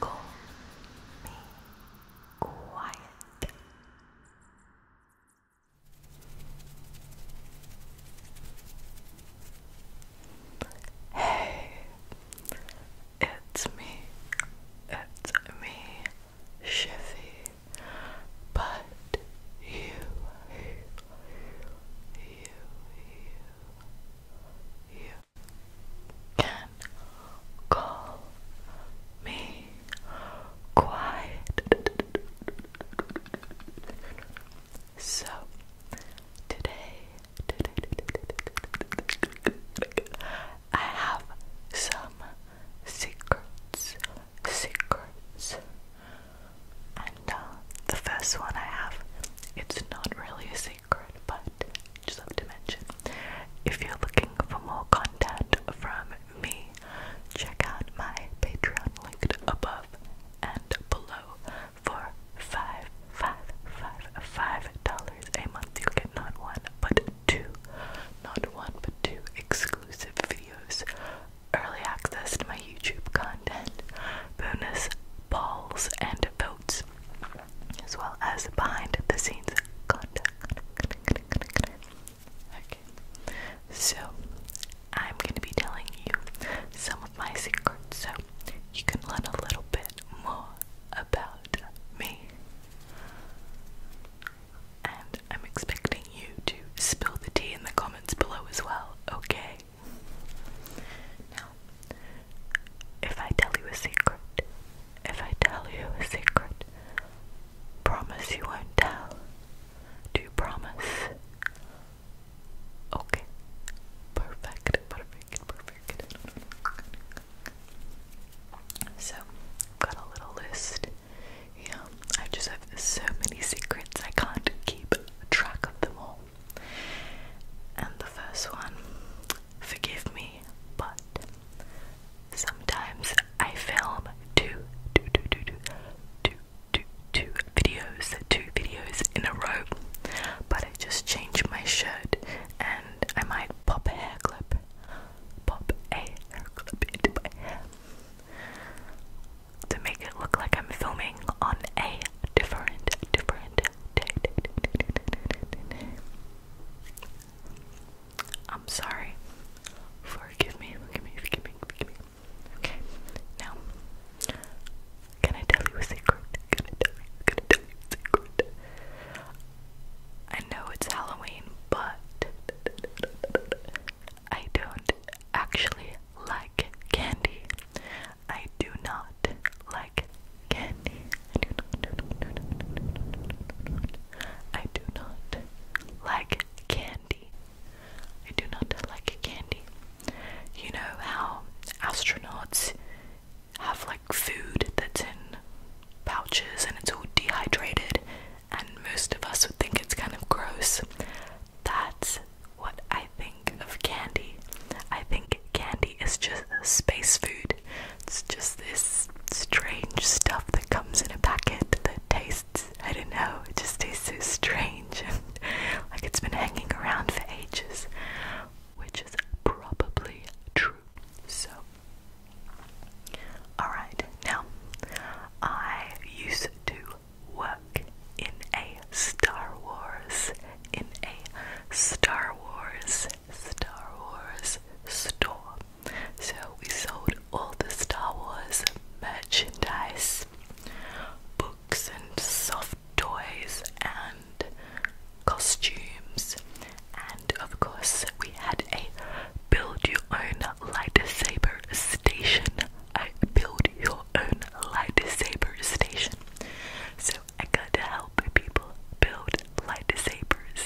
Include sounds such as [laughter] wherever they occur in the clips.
Call me quiet. Hey, it's me, it's me, Sheffy, but you you, you, you can call me quiet. So today, I have some secrets, secrets, and uh, the first one I have, it's not really a secret, but just have to mention. If you're looking for more content from me, check out my Patreon linked above and below for five, five, five, five dollars a month. You get not one but two, not one but two exclusive videos early access to my YouTube content, bonus balls and votes, as well as behind the scenes content. Okay, so I'm gonna be telling you some of my secrets so you can learn a little bit more about me. And I'm expecting you to spill the tea in the comments below as well, okay? Now, if I tell you a secret, if I tell you a secret, promise you won't tell. Do you promise? Okay. Perfect, perfect, perfect. So, got a little list. Yeah, I just have so many secrets, I can't keep track of them all. And the first one, forgive me, but sometimes I film two, two, two, two, two, two, two, two videos, two videos in a row, but I just changed my shirt and I might pop a hair clip, pop a hair clip into my hair to make it look like I'm filming on a different, different day. I'm sorry. Forgive me, forgive me, forgive me, forgive me. Okay, now, can I tell you a secret? Can I tell you a secret? I know it's Halloween, but I don't actually like candy. I do not like candy. I do not like candy. I do not like candy. You know how astronauts have like food that's in pouches and it's all dehydrated, and most of us would think it's kind of gross. That's what I think of candy. I think candy is just space food. It's just this strange stuff that comes in a packet that tastes, I don't know, it just tastes so strange and [laughs] like it's been hanging around for ages, which is probably true. So, alright, now I used to work in a Star Wars, in a Star Wars, Star Wars store. So we sold all the Star Wars merchandise, books and soft toys and costumes, and of course we had a build your own lightsaber station. I build your own lightsaber station. So I got to help people build lightsabers.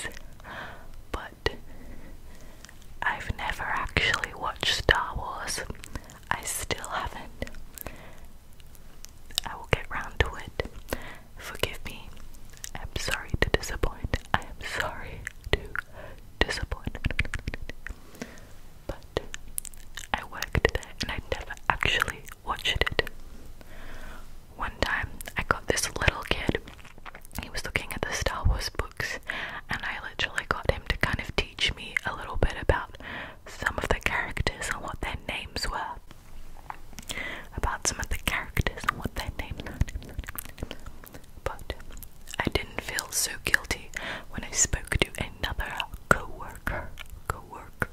But I've never actually watched Star Wars. I still haven't. I will get round to it. Forgive me. I'm sorry to disappoint. I am sorry to disappoint but I worked there and I never actually watched it. One time I got this little kid, he was looking at the Star Wars books, and I literally got him to kind of teach me a little bit about some of the characters and what their names were. About some of the characters and what their names were. But I didn't feel so guilty when I spoke to another coworker, worker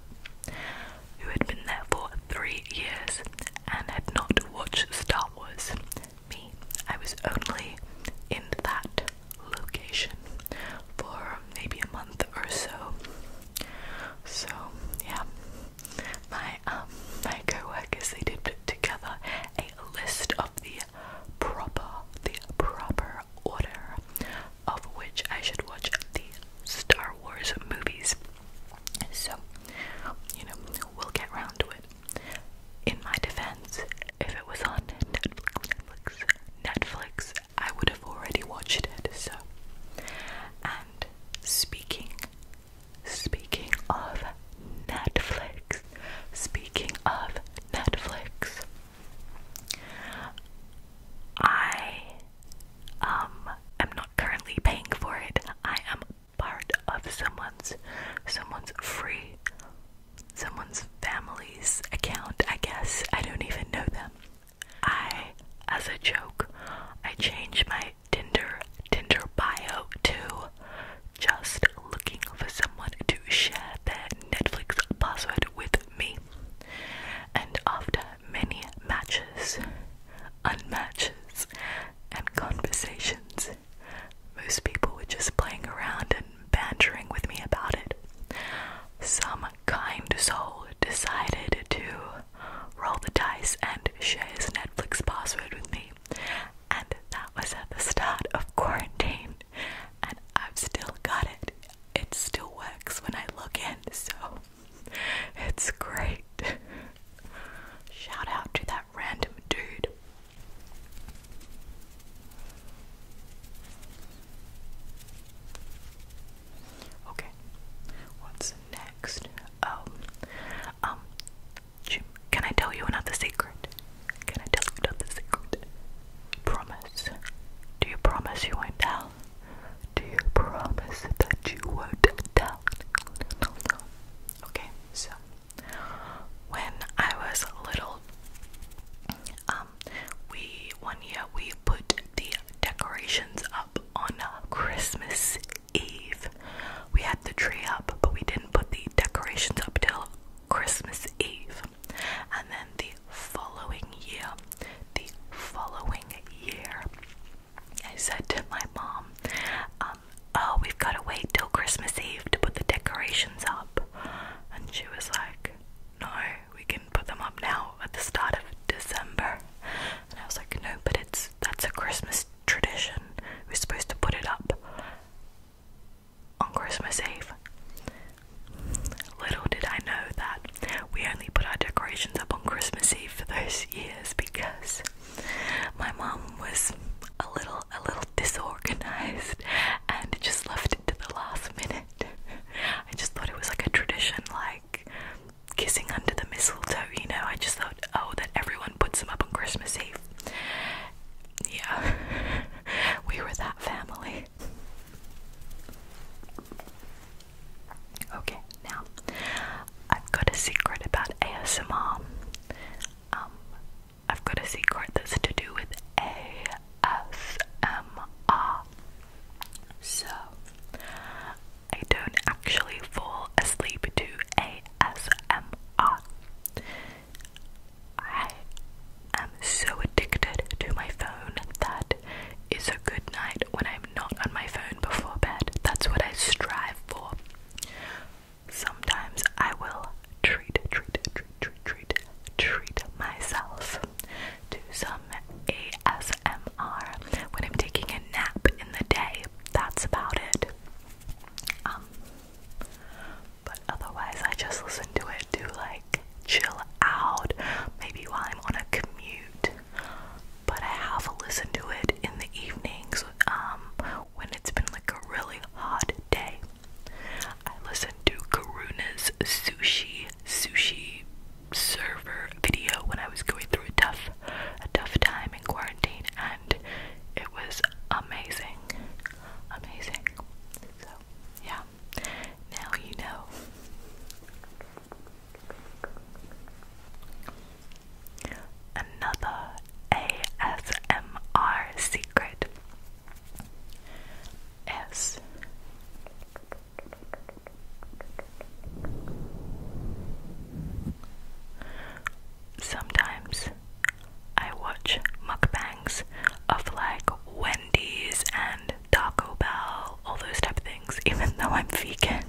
who had been there for three years and had not watched Star Wars. Me, I was only in that location for maybe a month or so. So yeah, my um my co they did put together a list of the proper, the proper order of which I should watch the Star Wars movies. So, you know, we'll get round to it. In my defense, if it was on Netflix, Netflix, I would have already watched it. So, and speaking, speaking of Netflix. Speaking of Netflix, I um am not currently paying for it. I am part of someone's someone's free someone's family's account, I guess. I don't even know them. I as a joke, I changed my Tinder Tinder bio to just looking for someone to share their Netflix password with me. And after many matches, unmatches, and conversations, most people were just playing around and bantering with me about it. Some kind soul decided to roll the dice and share his Netflix password with me. And that was at the start of quarantine and I've still got it. It still works when I look in, so it's great. Shout out to that random dude. Okay, what's next? Oh, um, can I tell you another secret? Can I tell you another secret? Promise. Do you promise you won't tell? Do you promise that you won't tell? No, no. Okay, so when I was little, um, we one year we put the decorations up on uh, Christmas Eve. We had the tree up, but we didn't put the decorations up till Christmas Eve. And then the following year, the following year, I said to my mom, um, Oh, we've got to wait till Christmas Eve to put the decorations up. And she was like, No, we can put them up now at the start of December. And I was like, No, but it's that's a Christmas tradition. We're supposed to put it up on Christmas Eve. Little did I know that we only put our decorations up on Christmas Eve for those years because my mom was a little a little disorganized and just left it to the last minute. I just thought it was like a tradition like kissing under the mistletoe, you know, I just thought, oh that everyone puts them up on Christmas Eve yeah, [laughs] we were that family. Okay, now I've got a secret about ASMR. Um, I've got a secret that's to do with ASMR. So, I don't actually fall asleep to ASMR. I am so addicted to my phone that it's a good night when I'm not on my phone before bed. That's what I strive for. Sometimes I will treat, treat, treat, treat, treat, treat myself to some ASMR when I'm taking a nap in the day. That's about it. Um, but otherwise, I just listen to it to like chill out, maybe while I'm on a commute. But I have listen to it in the evenings um, when it's been like a really hot day. I listen to Karuna's sushi sushi server video when I was going through a tough a tough time in quarantine and it was amazing. Amazing. So, yeah. Now you know. Another ASMR secret is Sometimes I watch mukbangs of like Wendy's and Taco Bell, all those type of things, [laughs] even though I'm vegan.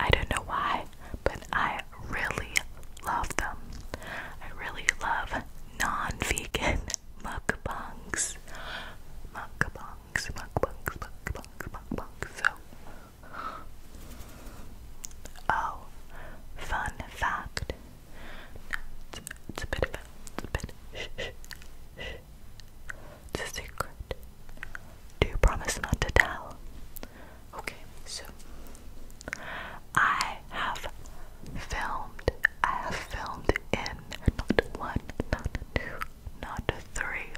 I don't know why, but I really love them. I really love non vegan [laughs] mukbangs. Mukbangs, mukbangs, mukbangs, mukbangs. So Oh, fun fact. it's, a bit of a, it's a bit. Shh, shh, shh. It's secret. Do you promise not to tell? Okay, so I have filmed. I have filmed in not one, not two, not three,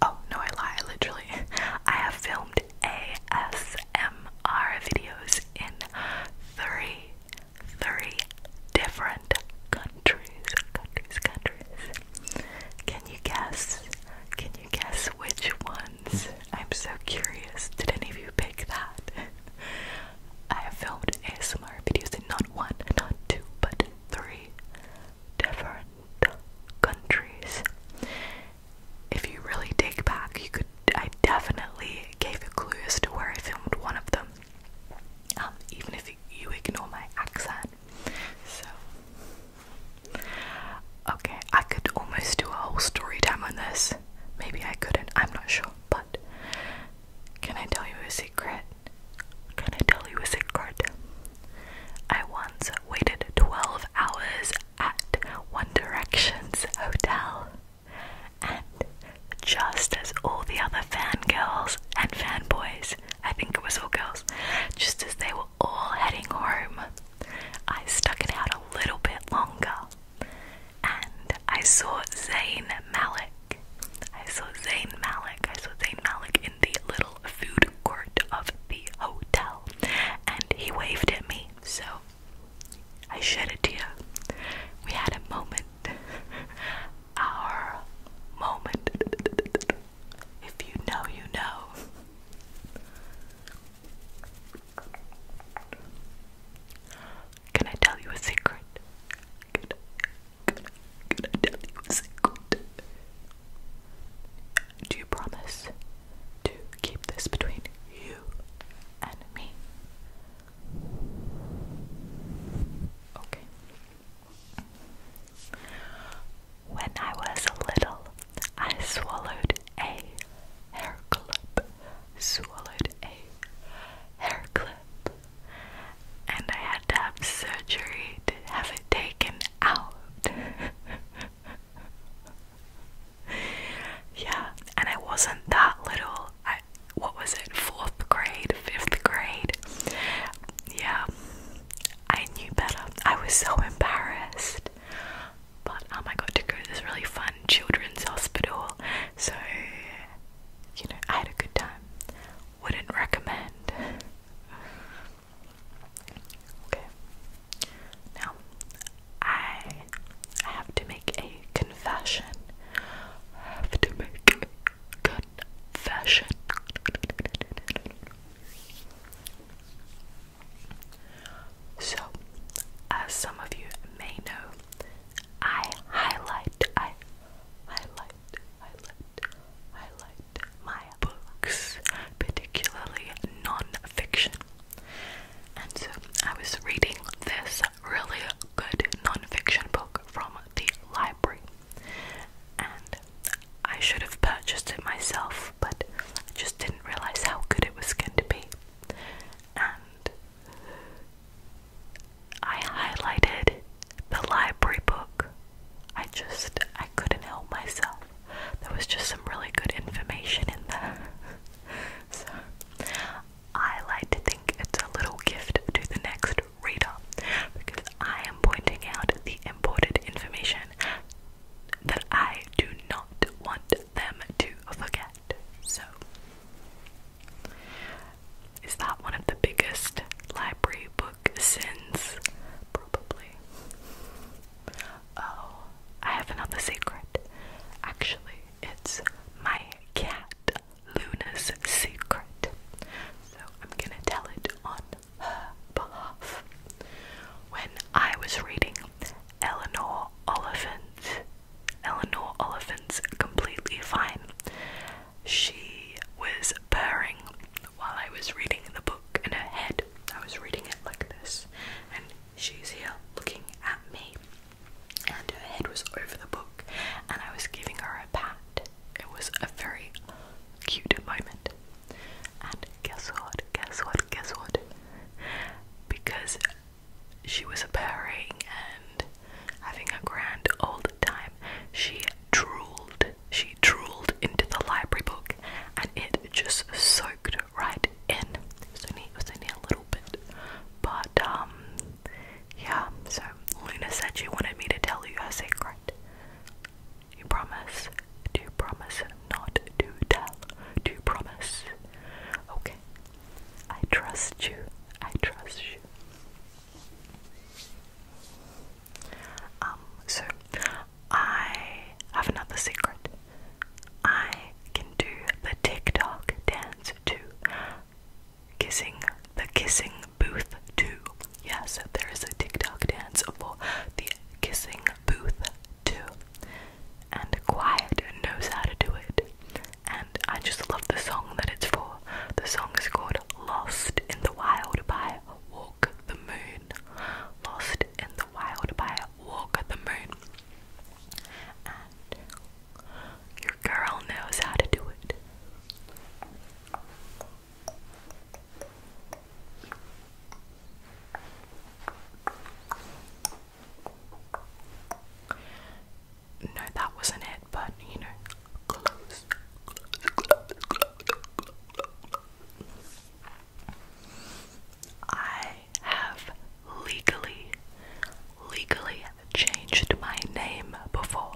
Oh, no, I lie. literally, [laughs] I have filmed ASMR videos in three, three different countries. Countries, countries. Can you guess? Can you guess which ones? I'm so curious. Did any of you pick that? [laughs] I have filmed ASMR videos in not one, not two, but three different countries. If you really dig back, you could. I definitely gave a clue as to where I filmed one of them, um, even if you ignore my accent. So, okay, I could almost do a whole story time on this. Maybe I couldn't. I'm not sure, but can I tell you a secret? Can I tell you a secret? I once waited 12 hours at One Direction's hotel. And just as all the other fangirls and fanboys, I think it was all girls, just as they were all heading home, I stuck it out a little bit longer and I saw Zayn Malik. I saw Zayn Malik. I saw Zayn Malik the little food court of the hotel, and he waved at me, so I shed a tear. We had a moment. [laughs] Our moment. If you know, you know. Can I tell you a secret? can I tell you a secret? Do you promise to keep this between you and me? Okay. When I was little, I swallowed a hair clip. Swallowed a hair clip. And I had to have surgery to have it taken out. [laughs] yeah, and it wasn't that little. what was it? Fourth grade, fifth grade. Yeah, I knew better. I was so embarrassed. But oh my god, to go to this really fun children's hospital, so you know I had a good time. Wouldn't recommend. Okay. Now, I have to make a confession. have to make confession. So, as some of you may know, I highlight, I highlight, I highlight my books, particularly non-fiction. And so I was reading this really good non-fiction book from the library, and I should have purchased it myself, but just didn't realize how good it was going to be. And I highlighted the library book I just I couldn't help myself. There was just some really good information in there. [laughs] so I like to think it's a little gift to the next reader because I am pointing out the important information that I do not want them to forget. So is that one of the biggest library books? since probably. Oh, I have another secret. Actually, it's my cat Luna's secret. So I'm gonna tell it on her behalf. When I was reading Eleanor Oliphant, Eleanor Oliphant's completely fine. She was purring while I was reading the book in her head. I was reading it like this, and she's here looking at me, and her head was over the book, and I was giving her a pat. It was a very cute moment. And guess what? Guess what? Guess what? Because she was purring and having a grand all the time, she drooled she drooled into the library book and it just soaked right in. It was only, it a little bit. But, um, yeah, so Luna said she wanted me to tell you her secret. You promise to promise not to tell. To promise. Okay. I trust you. I trust you. Um, so I have another secret. I can do the TikTok dance too. Kissing the kissing booth too. Yeah, so there is a TikTok dance for the kissing booth too. And Quiet knows how to do it. And I just love the song that it's for. The song is called Lost in the Wild by Walk the Moon. Lost in the Wild by Walk the Moon. your girl knows how to do it. No, that wasn't it, but you know, close. I have legally, legally changed my name before.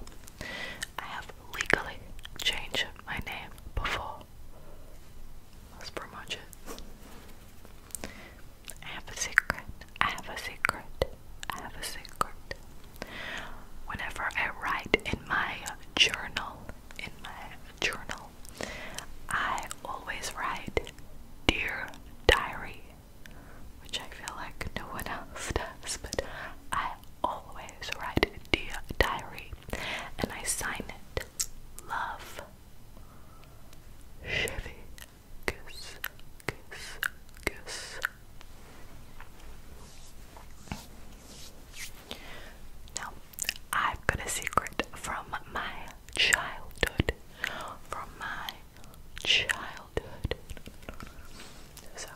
I have legally changed my name before. That's pretty much it. I have a secret. I have a secret. I have a secret. Whenever I write in my journal, in my journal, I always write Dear Diary, which I feel like no one else does, but I always write Dear Diary and I sign it Love Chevy Goose Goose Goose now, I've got a secret from my childhood. From my childhood. So,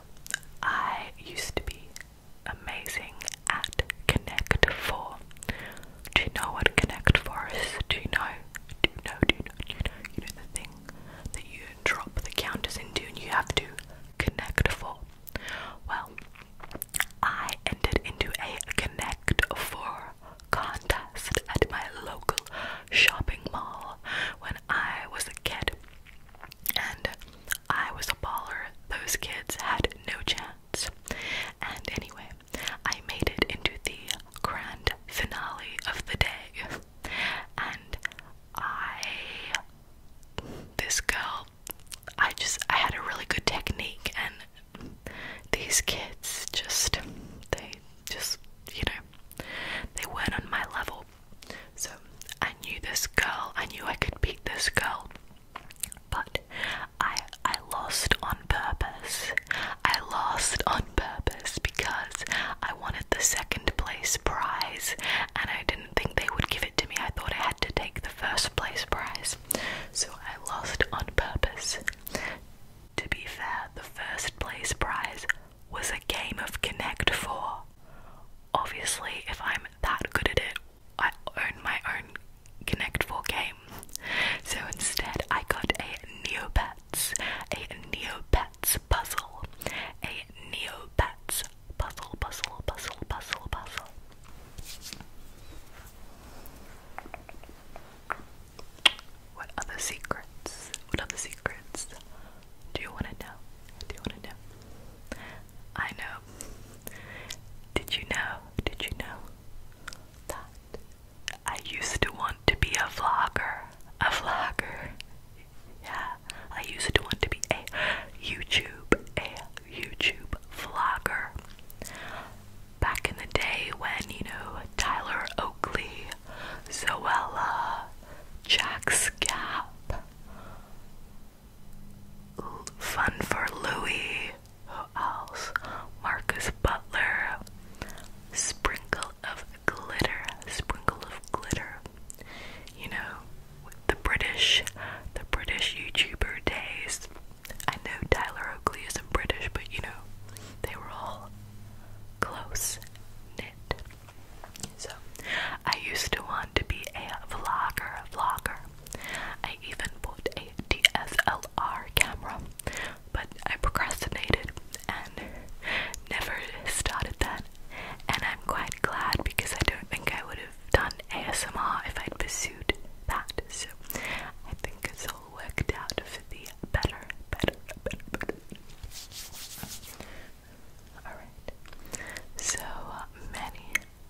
I used to be amazing at Connect 4. Do you know what Connect 4 is? Do you know? Do you know? Do you know? Do You know the thing that you drop the counters into and you have to Connect Four. Well, I entered into a Connect Four contest at my local shopping mall when I was a kid. And I was a baller. Those kids had no chance. And anyway, I made it into the grand finale of the day. And I this girl, I just I had a really good technique, and these kids just they just you know they weren't on my level. So I knew this girl, I knew I could beat this girl, but I I lost on purpose. I lost on purpose because I wanted the second place prize, and I didn't think they would give it to me. I thought I had to take the first place prize. So I lost on purpose. To be fair, the first place prize was a game of Connect 4. Obviously, if I'm that good at it, I own my own Connect 4 game. So instead, I got a Neopets, a Neopets Neopets puzzle. A Neopets puzzle, puzzle, puzzle, puzzle, puzzle. What other secrets? What other secrets do you want to know? Do you want to know? I know. Did you know? Did you know that I used to want to be a vlogger? A vlogger. Yeah, I used to want to be a YouTube, a YouTube vlogger. Back in the day when, you know, Tyler Oakley, Zoella, Jack Scap, Fun for Louie, else? Marcus Butler, Sprinkle of glitter, sprinkle of glitter. You know, with the British, the British YouTuber days. I know Tyler Oakley isn't British, but you know, they were all close knit. So, I used to want to be a vlogger, vlogger. I even bought a DSLR camera, but I procrastinated and never started that that. And I'm quite glad because I don't think I would have done ASMR if I'd pursued that. So I think it's all worked out for the better, better, better, better. Alright. So uh, many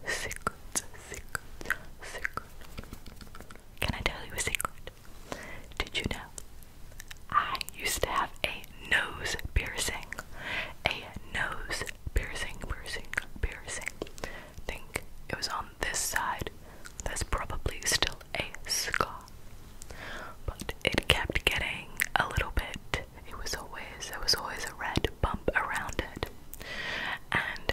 secrets, secrets, secrets. Can I tell you a secret? Did you know I used to have a nose piercing. A nose piercing, piercing, piercing. Think it was on this side. There's probably still a scar. But it kept getting a little bit. It was always there was always a red bump around it. And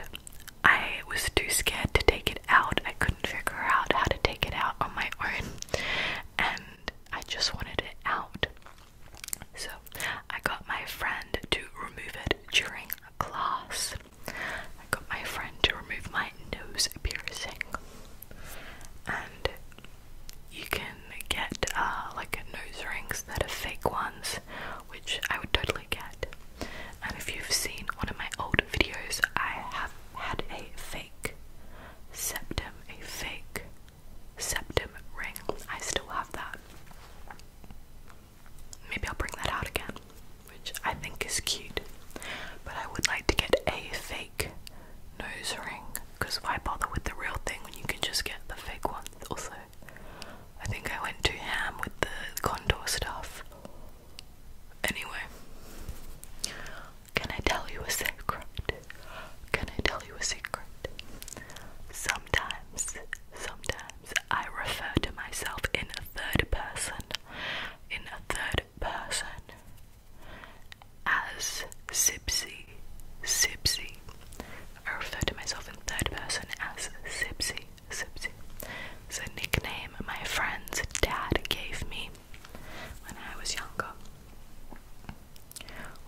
I was too scared to take it out. I couldn't figure out how to take it out on my own and I just wanted it out. So I got my friend to remove it during class. I got my friend to remove my nose piercing, and you can get uh, like nose rings that are fake ones, which I would totally get. And if you've seen one of my old videos, I have had a fake septum, a fake septum ring. I still have that. Maybe I'll bring that out again, which I think is cute. But I would like to get a fake nose ring because why bother with the real thing when you can just get the fake one? Also, I think I went too ham with the contour stuff. Anyway, can I tell you a secret? Can I tell you a secret? Sometimes, sometimes I refer to myself in a third person, in a third person, as Sipsy, Sipsy. I refer to myself in third person as Sipsy, Sipsy. It's a nickname my friend's dad gave me when I was younger.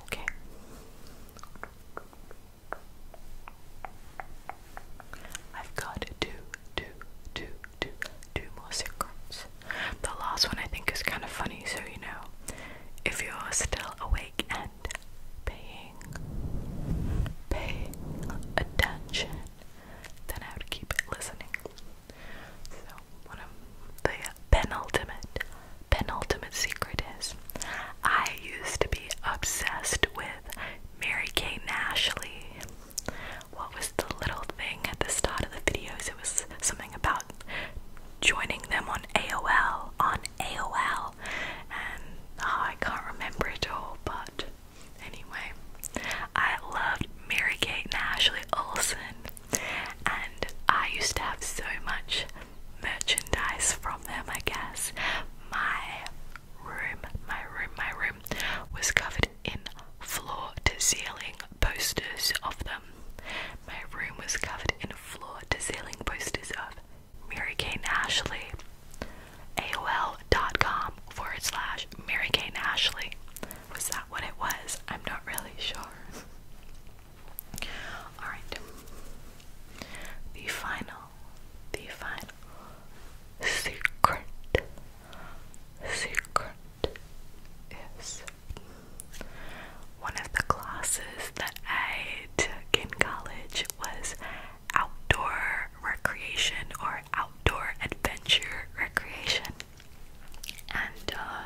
Okay. I've got two, two, two, two, two more secrets. The last one I think is kind of funny, so you know, if you're still awake and paying, paying attention, then I would keep listening. So, one of the penultimate, penultimate secret is I used to be obsessed with Mary Kay Ashley. What was the little thing at the start of the videos? It was something about joining them on AOL, on AOL, and oh, I can't remember it all, but anyway, I loved Mary Kate and Ashley Olsen and I used to have so much merchandise from them, I guess. My room, my room, my room was covered in floor to ceiling posters of them. My room was covered in floor to ceiling posters of Mary Kane Ashley. AOL dot com forward slash Mary Kane Ashley. Was that what it was? I'm not really sure. Alright. The final, the final secret, secret is one of the classes that I took in college was outdoor recreation or outdoor adventure recreation and uh,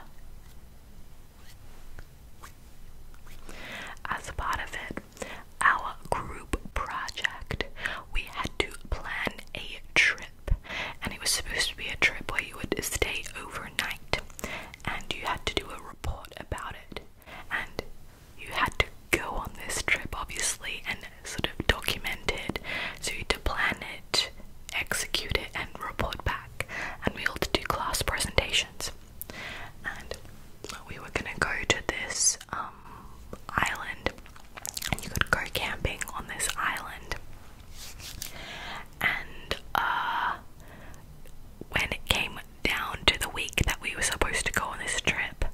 as part of it, our group project, we had to plan a trip, and it was supposed to be a trip where you would stay overnight, and you had to do a report about it, and you had to go on this trip, obviously, and sort of document it. So you had to plan it execute it, and report back. And we all had to do class presentations. And we were gonna go to this um, island, and you could go camping on this island. And uh, when it came down to the week that we were supposed to go on this trip,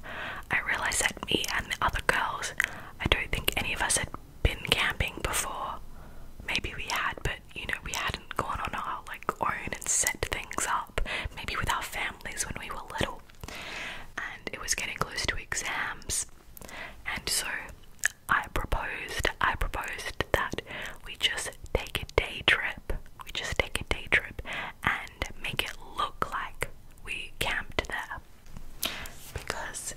I realized that me and the other girls, I don't think any of us had been camping before. Maybe we had, but you know, we hadn't gone on our like own and set things up. Maybe with our families when we were little. And it was getting close to exams. And so I proposed, I proposed that we just take a day trip. We just take a day trip and make it look like we camped there. Because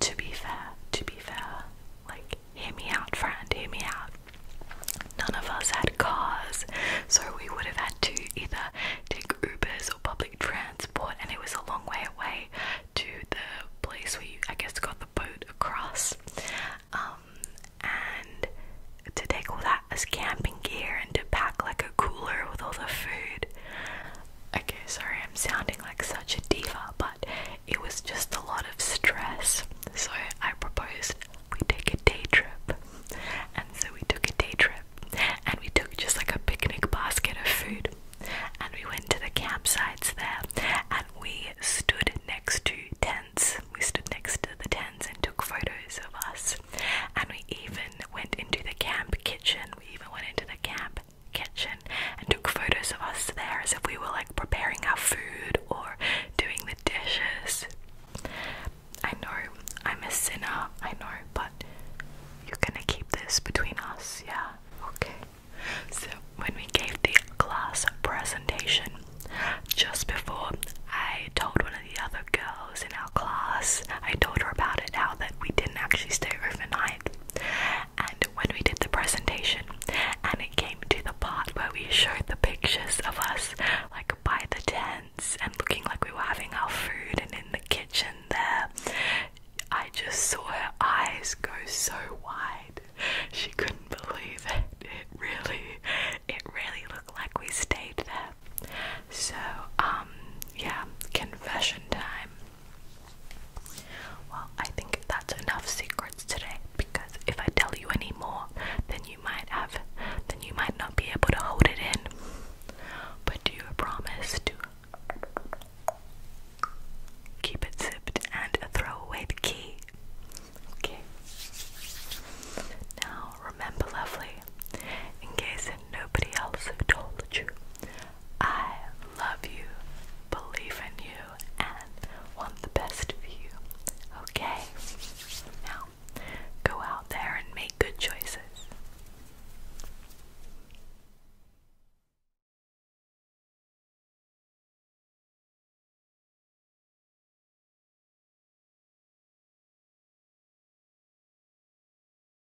to be fair, to be fair, like hear me out, friend, hear me out. None of us had cars, so we would have had to either take Ubers or public transport, and it was a long way away to the place we, I guess, got the boat across. Um, and to take all that as camping gear and to pack like a cooler with all the food, Okay, sorry, I'm sounding like such a diva, but it was just a lot of stress. So I proposed we take a day trip. And so we took a day trip and we took just like a picnic basket of food and we went to the campsites there and we stood next to tents. We stood next to the tents and took photos of us. And we even went into the camp kitchen. We even went into the camp kitchen and took photos of us there as if we were like preparing our food or doing the dishes. I know I'm a sinner, I know, but you're gonna keep this between us, yeah? Okay. So, when we gave the class presentation, just before I told one of the other girls in our class, I told her about it, how that we didn't actually stay overnight and when we did the presentation and it came to the part where we showed the pictures of us like by the tents and looking like we were having our food and in the kitchen there I just saw her eyes go so wide she couldn't believe it it really it really looked like we stayed there so um yeah confession time well, I think that's enough secrets today because if I tell you any more, then you might have then you might not be able to hold it in. But do you promise to keep it zipped and throw away the key? Okay. Now remember lovely, in case nobody else told you, I love you, believe in you, and want the best for you. Okay? Now, go out there and make good choices.